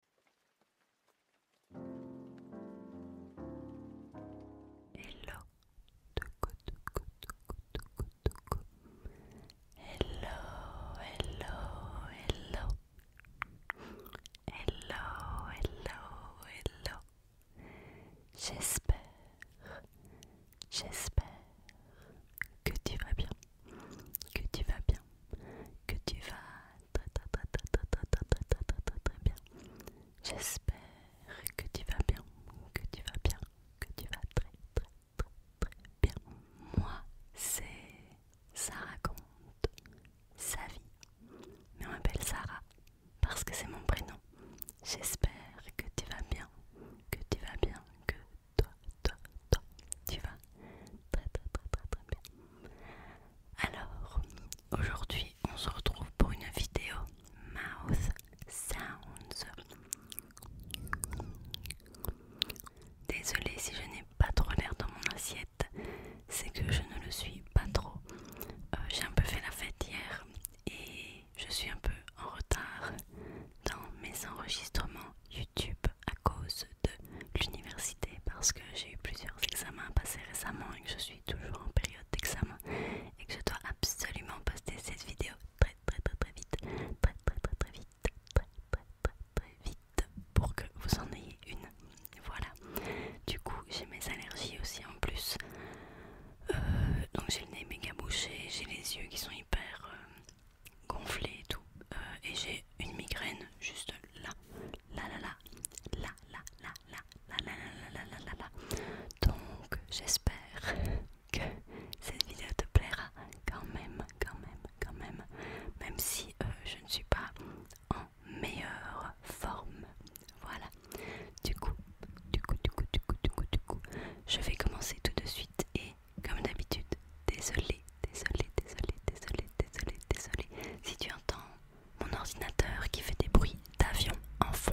Hello de Hello Hello Hello Hello Hello Hello J'espère J'espère que tu vas bien que tu vas bien que tu vas très bien. J'espère que tu vas bien, que tu vas bien, que tu vas très très très très bien. Moi, c'est Sarah raconte sa vie. Mais on m'appelle Sarah parce que c'est mon prénom. J'espère que tu vas bien, que tu vas bien, que toi, toi, toi, tu vas très très très très très bien. Alors, aujourd'hui, on se retrouve pour une vidéo Mouth Sounds. Désolée si je n'ai pas trop l'air dans mon assiette, c'est que je ne le suis pas trop. Euh, j'ai un peu fait la fête hier et je suis un peu en retard dans mes enregistrements YouTube cause de l'université parce que j'ai eu plusieurs examens à passer récemment et que je suis toujours en période d'examen et que je dois absolument poster cette vidéo très très très très vite, très très très très vite, très très très très vite pour que vous en ayez une. Voilà. Du coup j'ai mes allergies aussi en plus. Euh, donc j'ai le nez méga bouché, j'ai les yeux qui sont hyper... Euh, gonflé et tout. Euh, et j'ai une migraine juste là, là, là, là, là, là, là, là, là, là, là, Donc j'espère que cette vidéo te plaira quand même, quand même, quand même. Même si euh, je ne suis pas en meilleure forme. Voilà. Du coup, du coup, du coup, du coup, du coup, du coup, je vais commencer tout de suite et comme d'habitude, désolé, désolé, désolé, désolé, désolé, désolé. Si tu entends mon ordinateur qui fait des bruits d'avion en fond.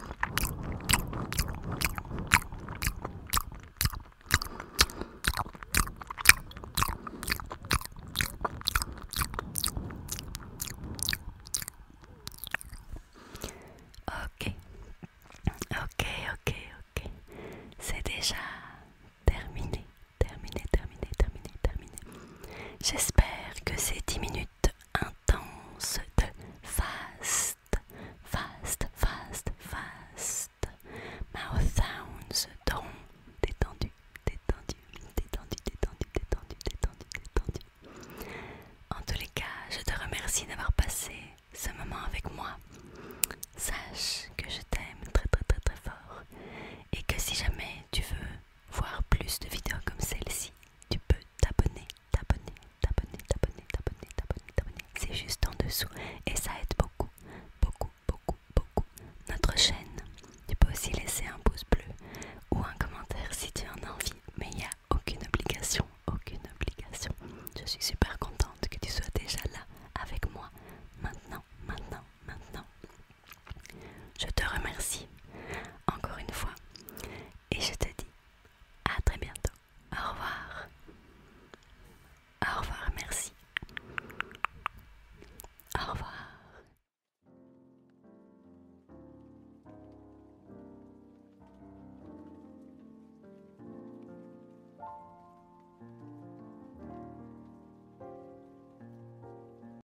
Ok, ok, ok, ok. C'est déjà terminé, terminé, terminé, terminé, terminé. J'espère que ces 10 minutes intense de fast, fast, fast, fast, mouth sounds détendu, détendu, détendu, détendu, détendu, détendu, détendu. En tous les cas, je te remercie d'avoir passé ce moment avec moi. Sache que je t'aime très très très très fort et que si jamais tu veux voir plus de vidéos comme celle-ci, tu peux t'abonner, t'abonner, t'abonner, t'abonner, t'abonner, t'abonner, t'abonner. C'est juste en dessous et ça aide beaucoup, beaucoup, beaucoup, beaucoup notre chaîne. Tu peux aussi laisser un pouce bleu ou un commentaire si tu en as envie, mais il n'y a aucune obligation, aucune obligation. Je suis super contente que tu sois déjà là avec moi maintenant, maintenant, maintenant. Je te remercie encore une fois et je te dis à très bientôt. Au revoir. Au revoir, merci. Au revoir.